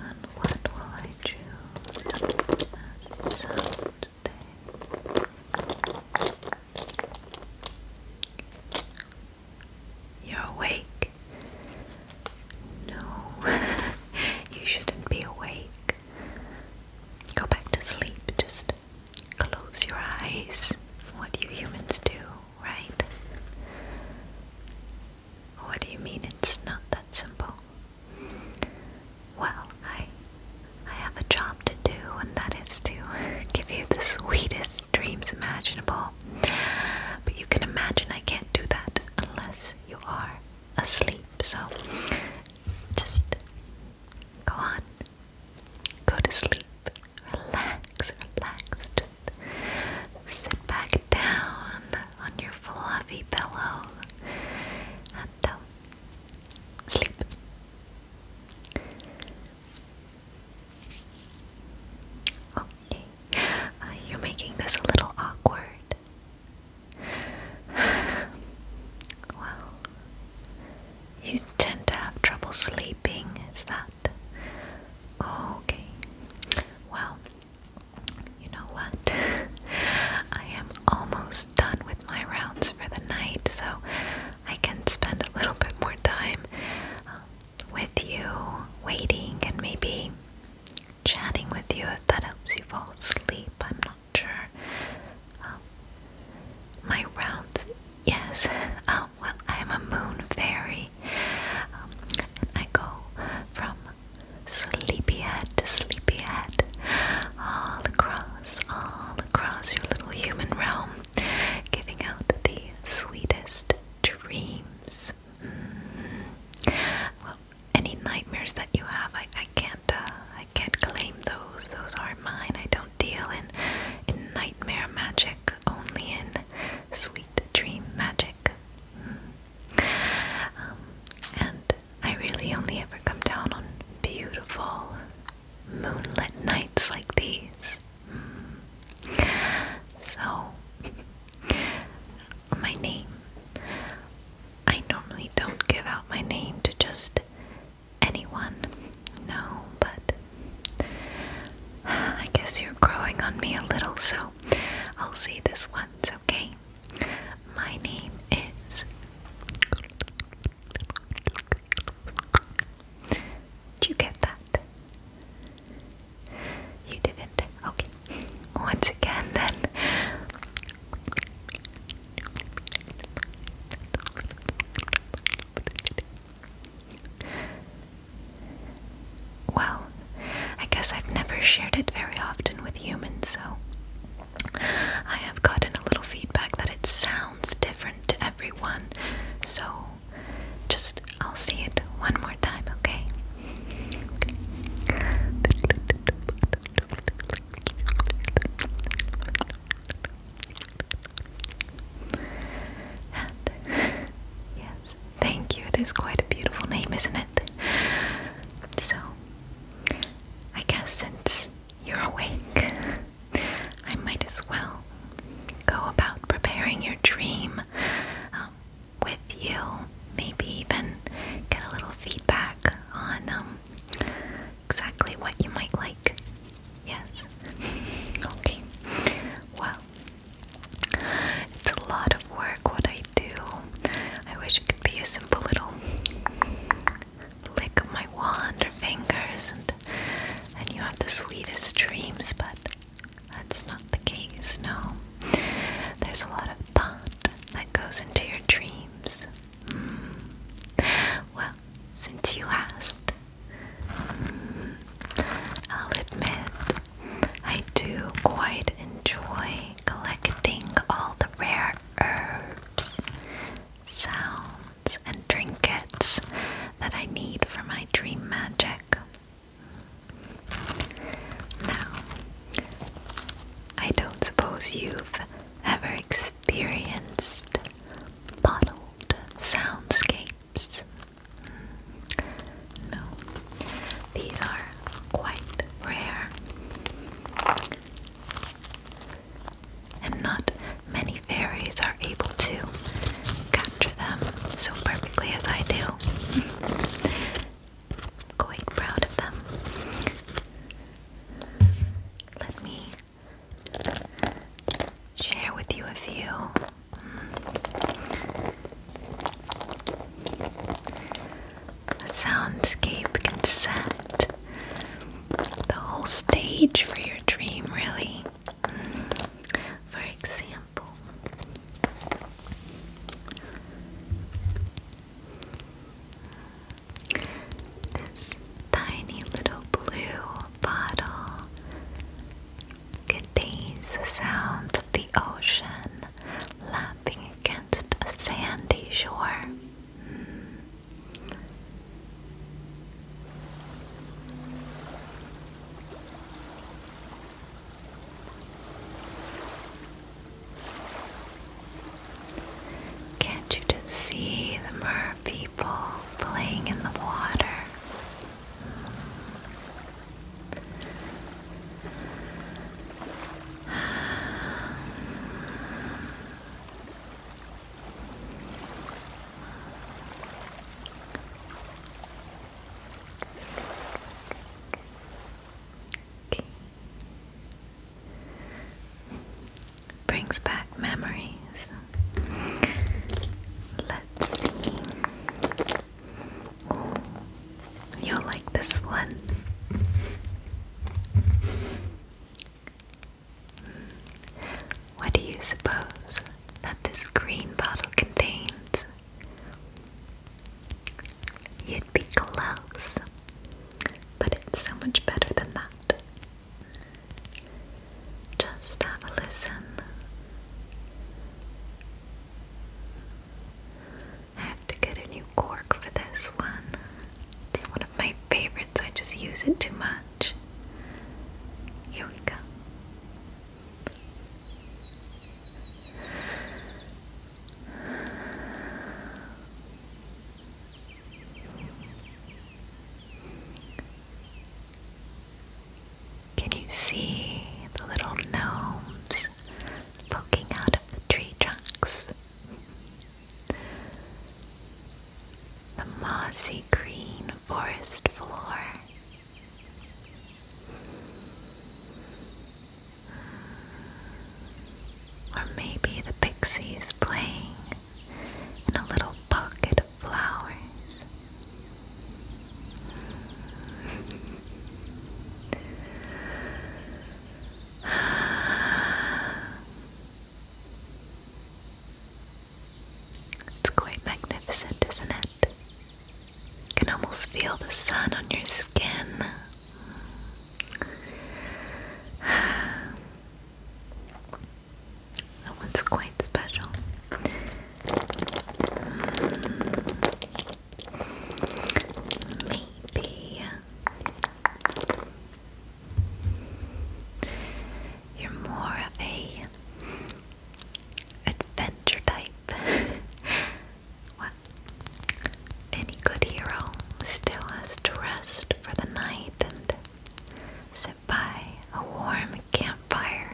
And what will I choose You're awake. No, you shouldn't be awake. Go back to sleep. Just Close your eyes. What do humans do, right? What do you mean it's not that simple? Well, I I have a job to do and that is to give you the sweetest dreams imaginable. But you can imagine I can't do that unless you are asleep. So just go on. Go to sleep relax, relax. sit back down on your fluffy pillow and um, sleep. Okay, uh, you're making this a little awkward. well, you tend to have trouble sleeping, is that? Okay. Well, you know what? I am almost done with my rounds for the night, so I can spend a little bit more time um, with you, waiting, and maybe chatting with you if that helps you fall asleep. I'm not sure. Um, my rounds, yes. Oh, well, I'm a moon fairy. Um, and I go from sleepyhead to sleepyhead, all across, all across your little human realm, giving out the sweetest dreams. Mm-hmm. Well, any nightmares that you have, I, can't, uh, I can't claim those. Those are mine. I deal in nightmare magic, only in sweet dream magic. Hmm. Um, and I really only ever come down on beautiful moonlit nights like these. Hmm. So, my name. I normally don't give out my name to just anyone. No, but I guess you're growing on me a little, so I'll say this once, okay? My name is Did you get that? You didn't. Okay. Once again then. Well, I guess I've never shared it very often with humans, so I have gotten a little feedback that it sounds different to everyone. So just I'll see it one more time, okay? okay. And yes, thank you. It is quite a beautiful name, isn't it? So, I guess since you're awake, I might as well go about preparing your dream um, with you. Maybe even get a little feedback on um, exactly what you might like Yes. okay. Well, it's a lot of work what I do. I wish it could be a simple little lick of my wand or fingers and and you have the sweetest dreams, but that's not the case, no. There's a lot of thought that goes into your dreams. Hmm. Well, since you asked, I'll admit, I do quite enjoy collecting all the rare herbs, sounds, and trinkets that I need for my dream magic. Now, I don't suppose you've ever experienced bottled soundscapes. Hmm. No, these are quite rare, and not many fairies are able to capture them so perfectly as I do. Quite proud of them. Let me share with you a few. The soundscape can set the whole stage for your dream, really. For example, this tiny little blue bottle contains the sound of the ocean lapping against a sandy shore. Hmm. To see the mer people playing in the water? Brings back memories. Let's see. you'll like this one. Hmm. What do you suppose that this green bottle contains? You'd be close, but it's so much better than that. Just have a listen. I have to get a new cork for this one. It's one of my favorites, I just use it too much. Here we go. Can you see the little gnomes poking out of the tree trunks? The mossy green forest floor. Hmm. Or maybe the pixies playing and a little pocket of flowers. It's quite magnificent, isn't it? You can almost feel the sun on your skin. That one's quite special. maybe you're more of a adventure type. what? Any good hero still has to rest for the night and by a warm campfire.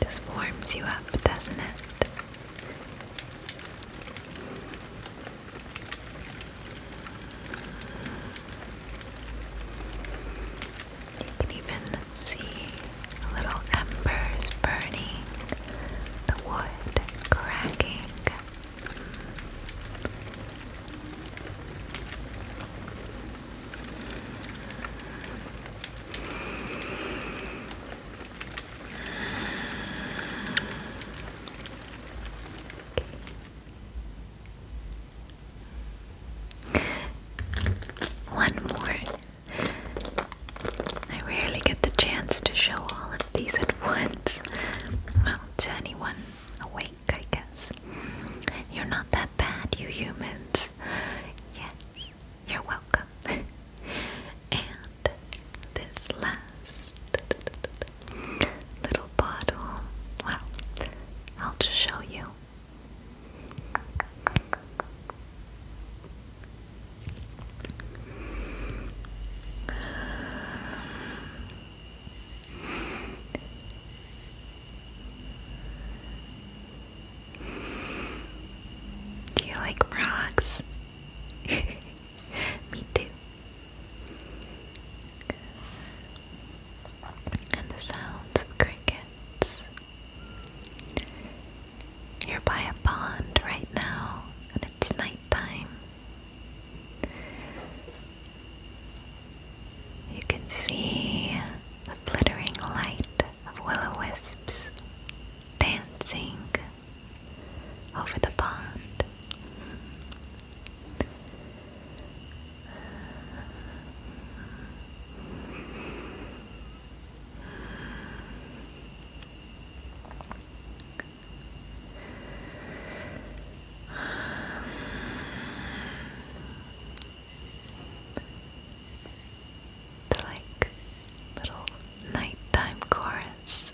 This warms you up, doesn't it? You can even see little embers burning, the wood cracking. One more. I rarely get the chance to show all of these at once. Well, to anyone awake, I guess. You're not that bad, you humans. Yes, you're welcome. and this last little bottle, well, I'll just show you. Do you like frogs? Me too. And the sounds of crickets. you by a pond right now, and it's nighttime. You can see the flittering light of will-o-wisps dancing over the pond. The like little nighttime chorus.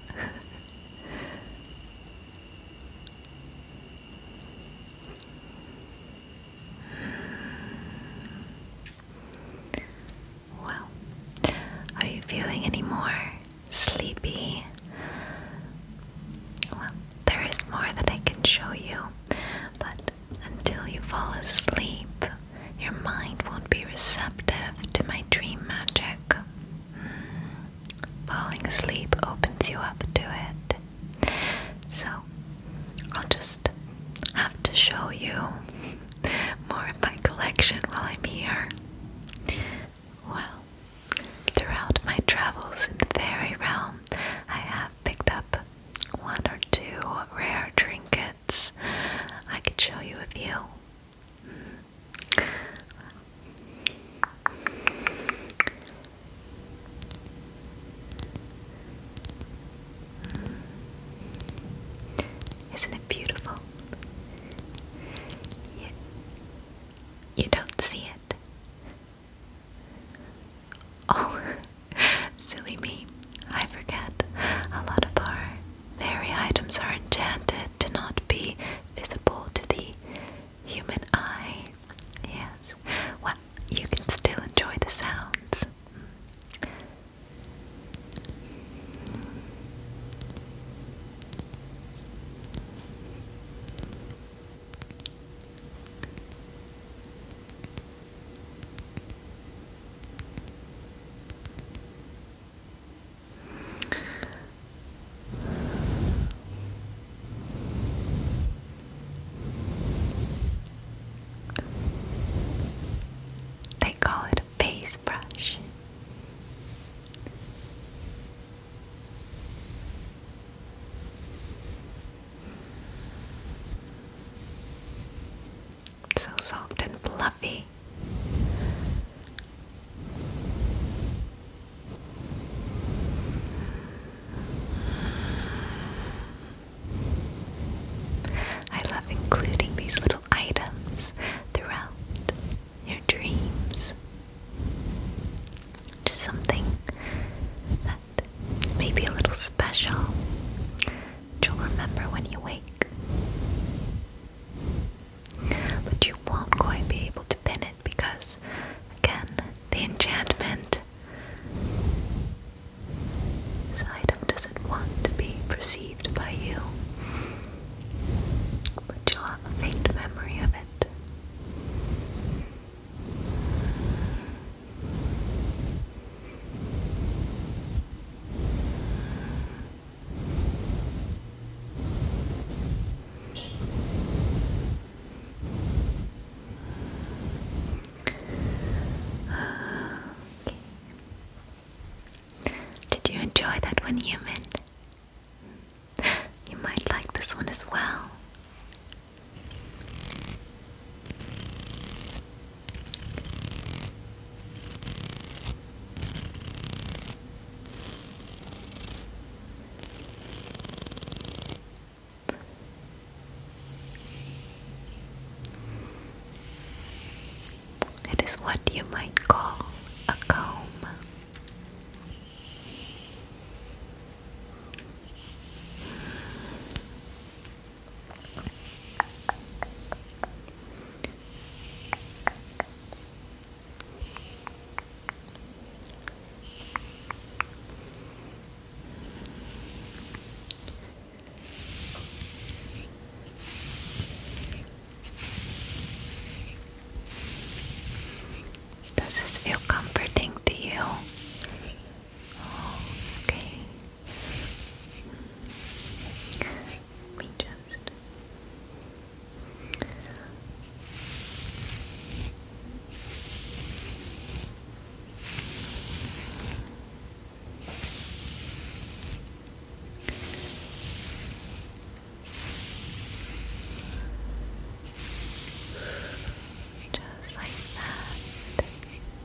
well, are you feeling any more sleepy? Well, there is more that I can show you, but until you fall asleep, your mind won't be receptive to my dream magic. Hmm. Falling asleep opens you up to it. So, I'll just have to show you more of my collection while I'm here. Well, throughout my travels in the fairy realm, I have picked up one or two rare trinkets. I could show you a few. Hmm. Isn't it beautiful? You, you don't see it. Oh, Silly me, I forget. A lot of our fairy items are enchanted to not be visible to the human eye. Yes, well, you can still enjoy the sounds. They call it a face brush. So soft and fluffy. I love including these little items throughout your dreams. Just something that maybe a little special you'll remember when you wake. But you won't quite be able to pin it because, again, the enchantment. This item doesn't want to be perceived by you, but you'll have a faint memory of it. Did you enjoy that one, human? You might like this one as well. It is what you might call a comb. Does this feel comforting to you? Okay. Let just. Just like that.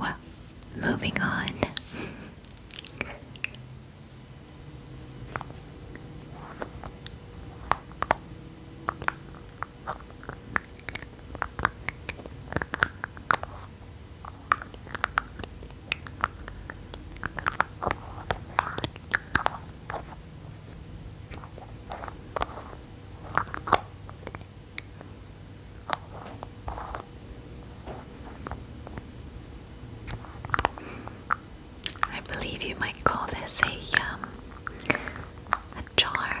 Well, moving on. I believe you might call this a um, a jar.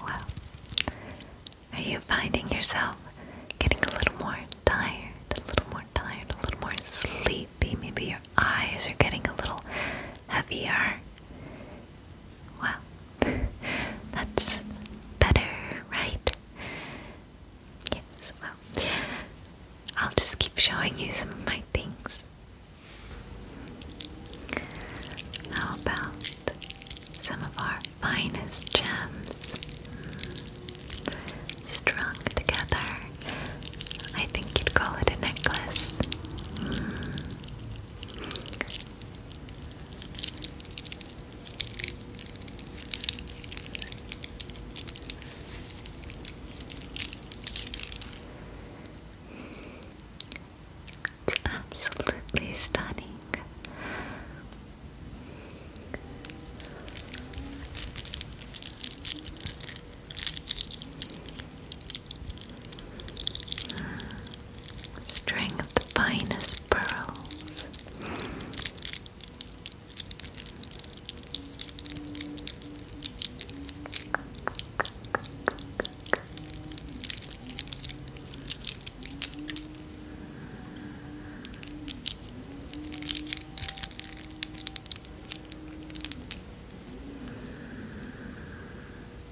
Well, are you finding yourself getting a little more tired, a little more tired, a little more sleepy? Maybe your eyes are getting a little heavier. Well, that's better, right? Yes, well, I'll just keep showing you some of my things. How about some of our finest gems? Strung together. I think you'd call it a necklace. Hmm. It's absolutely stunning. String of the finest pearls.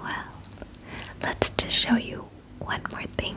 Well, let's just show you one more thing.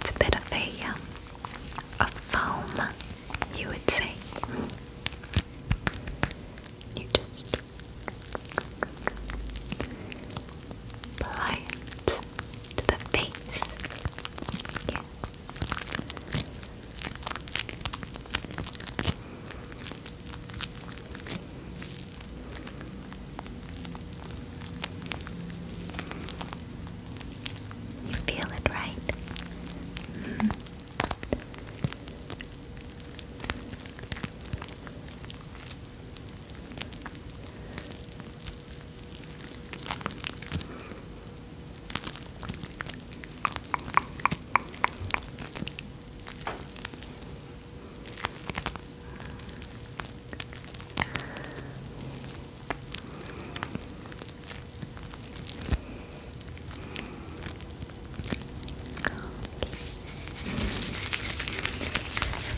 It's a bit of a, um, a foam, you would say. You just apply it to the face. You feel it, right? Mm-hmm.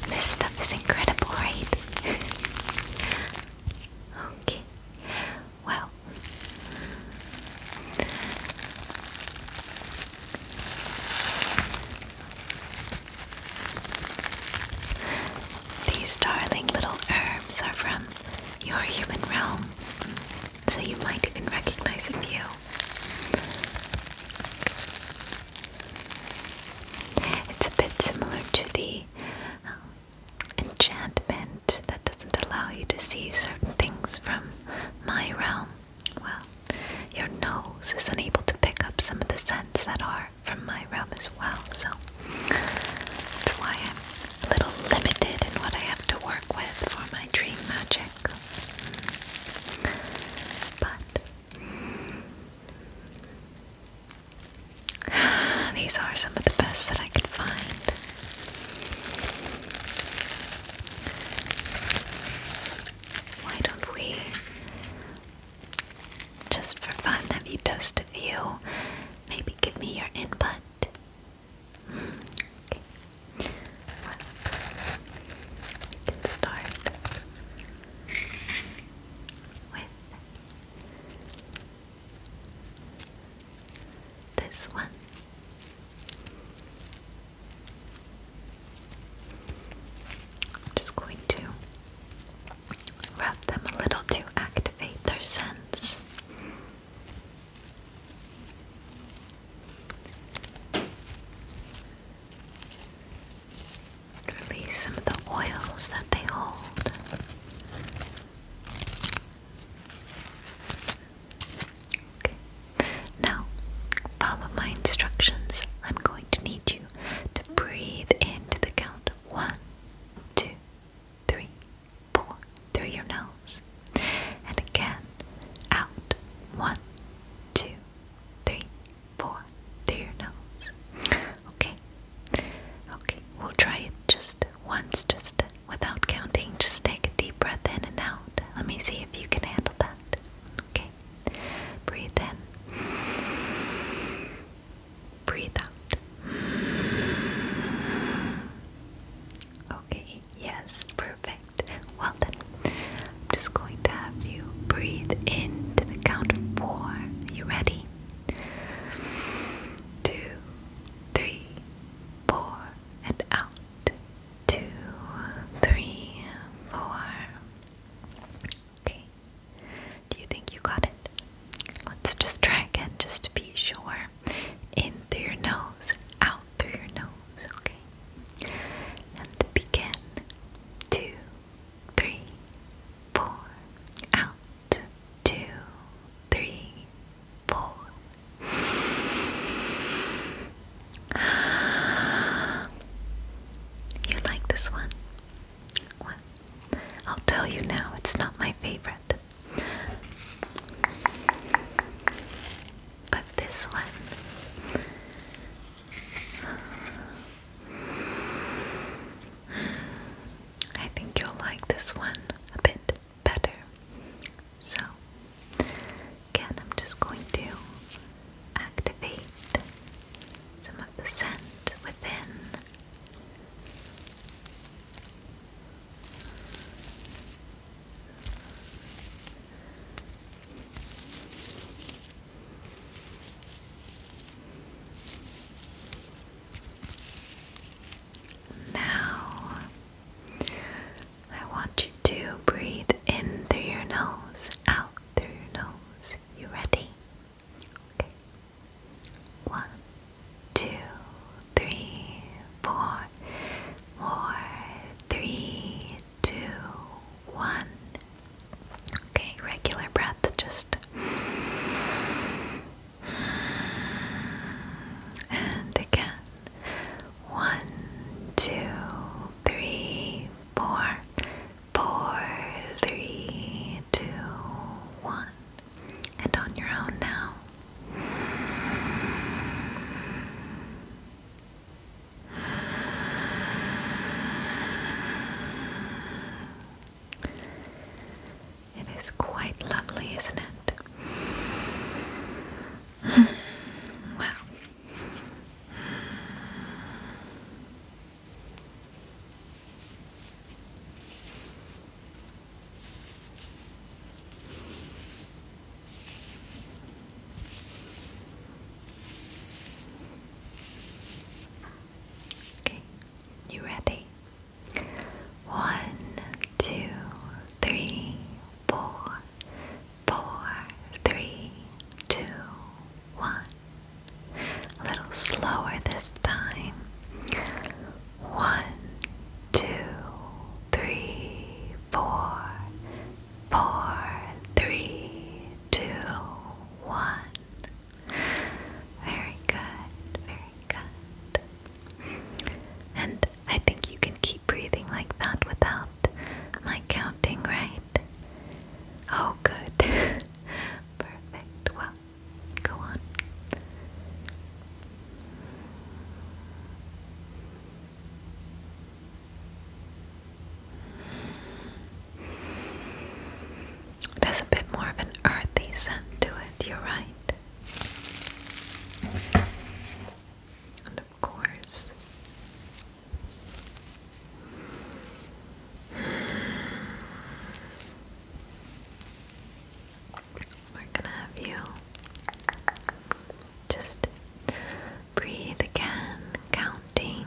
This stuff is incredible, right? okay. Well, these darling little herbs are from your human realm, so you might even recognize a few. It's a bit similar to the um, enchantment that doesn't allow you to see certain things from my realm. Well, your nose is unable to pick up some of the scents that are from my realm as well, so that's why I'm a little limited in what I have to work with for my dream magic. But these are some of the best that I could find. Why don't we, just for fun, have you test a few? Maybe give me your input. Hmm, we can start with this one. I'm just going to rub them a little to activate their sense. Release some of the oils that they hold. Okay. Now, follow my instructions. I'm going to need you to breathe into the count one, two, three, four through your nose. And again, out one, two, three, four through your nose. Okay. Okay, we'll try it just once, just without counting. Just take a deep breath in and out. Let me see if you can handle that. Okay. Breathe in. Breathe out. Okay. Yes. Perfect. Well then, I'm just going to have you breathe in to the count of four. You ready? Two, three, four, and out two, three, four. Okay. Do you think you got it? Let's just try again just to be sure. In through your nose, out through your nose, okay? And begin. Two, three, four, out, two, three, four. You like this one? Well, I'll tell you now, it's not my favorite. But this one. I think you'll like this one a bit better. So, again, I'm just going to activate some of the scent within. Now, I want you to breathe in through your nose, out through your nose. You ready? Okay. One, two, three, four, four, three, two, one. Okay, regular breath, just and again. One, two, three, four, four, three, two, one. And on your own now. It is quite lovely, isn't it? wow. Okay, you ready? One, two, three, four, four, three, two, one. A little slower this time. One, two, three, four, four, three, two, one. Very good, very good. And I think you can keep breathing like that without my counting, right? Oh, good. Perfect. Well, go on. It has a bit more of an earthy scent to it, you're right. And of course, we're gonna have you just breathe again, counting.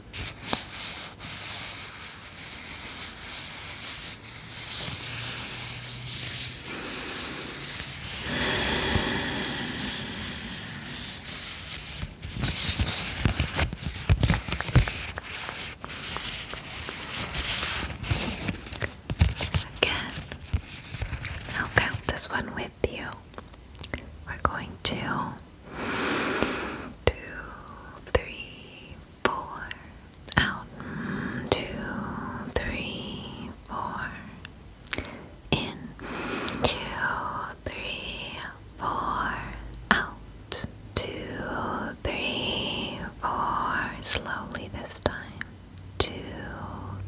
Again, I'll count this one with you. We're going to two, three, four, out, two, three, four, in, two, three, four, out, two, three, four, slowly this time, two,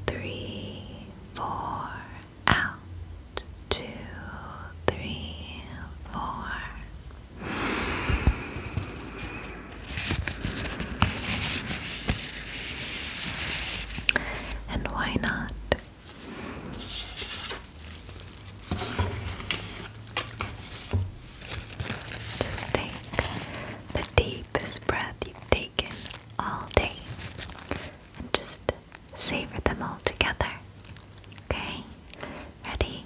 three, four, out, two, three, four. And why not? Just take the deepest breath you've taken all day and just savor them all together. Okay? Ready?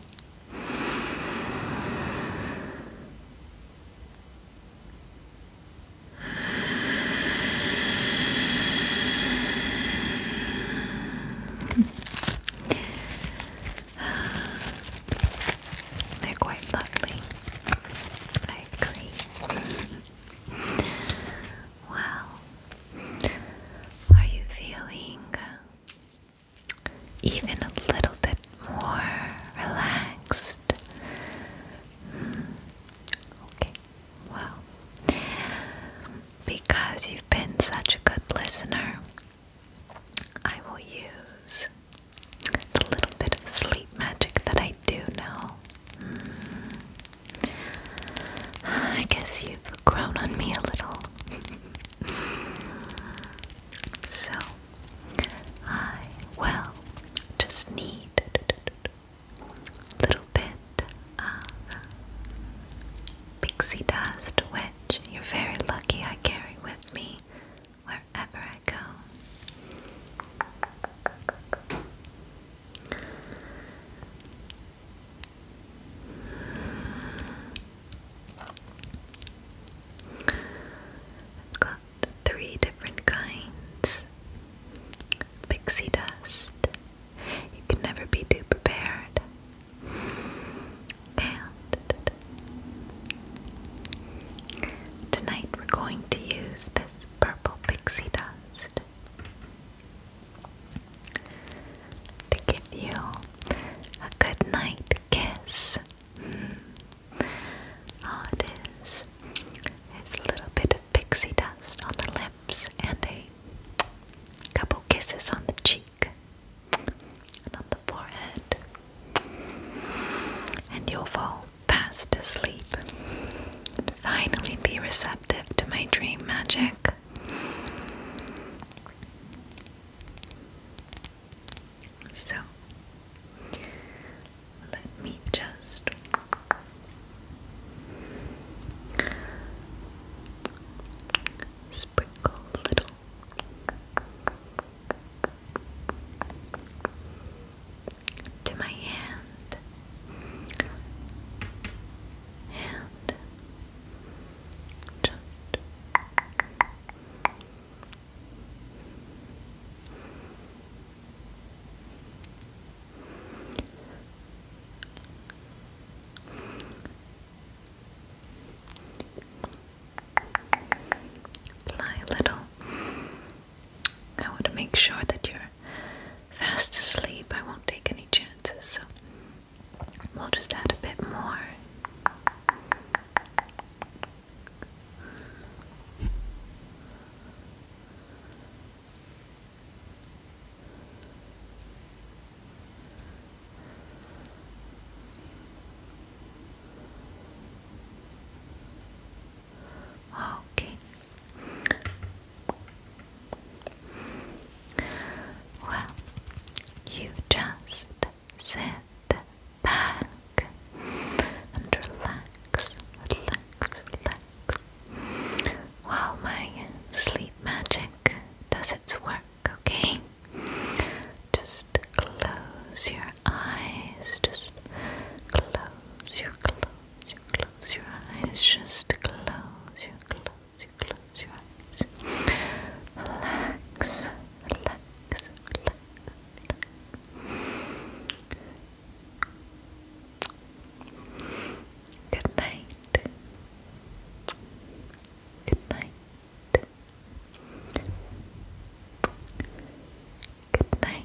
They're quite lovely. I agree well. Are you feeling even a little bit more relaxed? Hmm, okay, well, because you've been such a good listener, I will use the little bit of sleep magic that I do know. Hmm. I guess you've grown on me a little. so, I will just need a little bit of pixie dust, which you're very lucky I carry with me wherever I go got three different kinds. Pixie dust. You can never be too prepared. And tonight we're going to use this purple pixie dust to give you a good night kiss. Mm-hmm. All it is is a little bit of pixie dust on the lips and a couple kisses on the cheek and on the forehead, and you'll fall fast asleep finally be receptive to my dream magic. So, let me just sprinkle a little. To my hand, hand, just Apply little. I want to make sure that you're fast asleep. I won't take any chances. So we'll just add a bit more. Okay, well, you just sit back and relax, relax, relax while my sleep magic does its work, okay? Just close your eyes, just close your eyes close your eyes, just close your, close your, close your eyes. Relax, relax, relax, relax. Good night. Good night. Good night.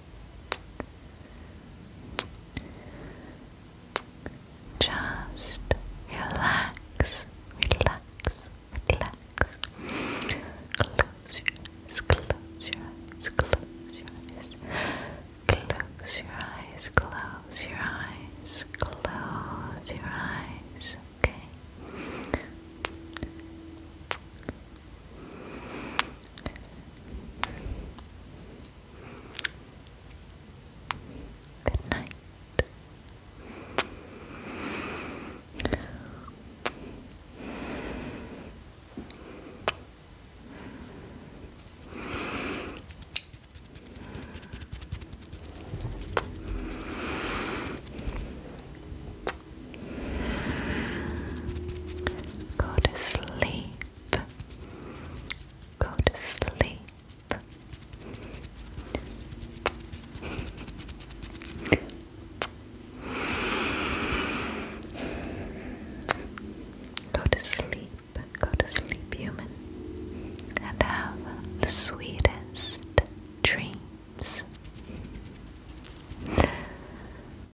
Just relax, relax, relax. Close your eyes, close your eyes, close your eyes. Close your eyes, close your eyes, close your eyes, okay? Good night. Go to sleep. Go to sleep. Go to sleep, go to sleep, human, and have the sweetest dreams.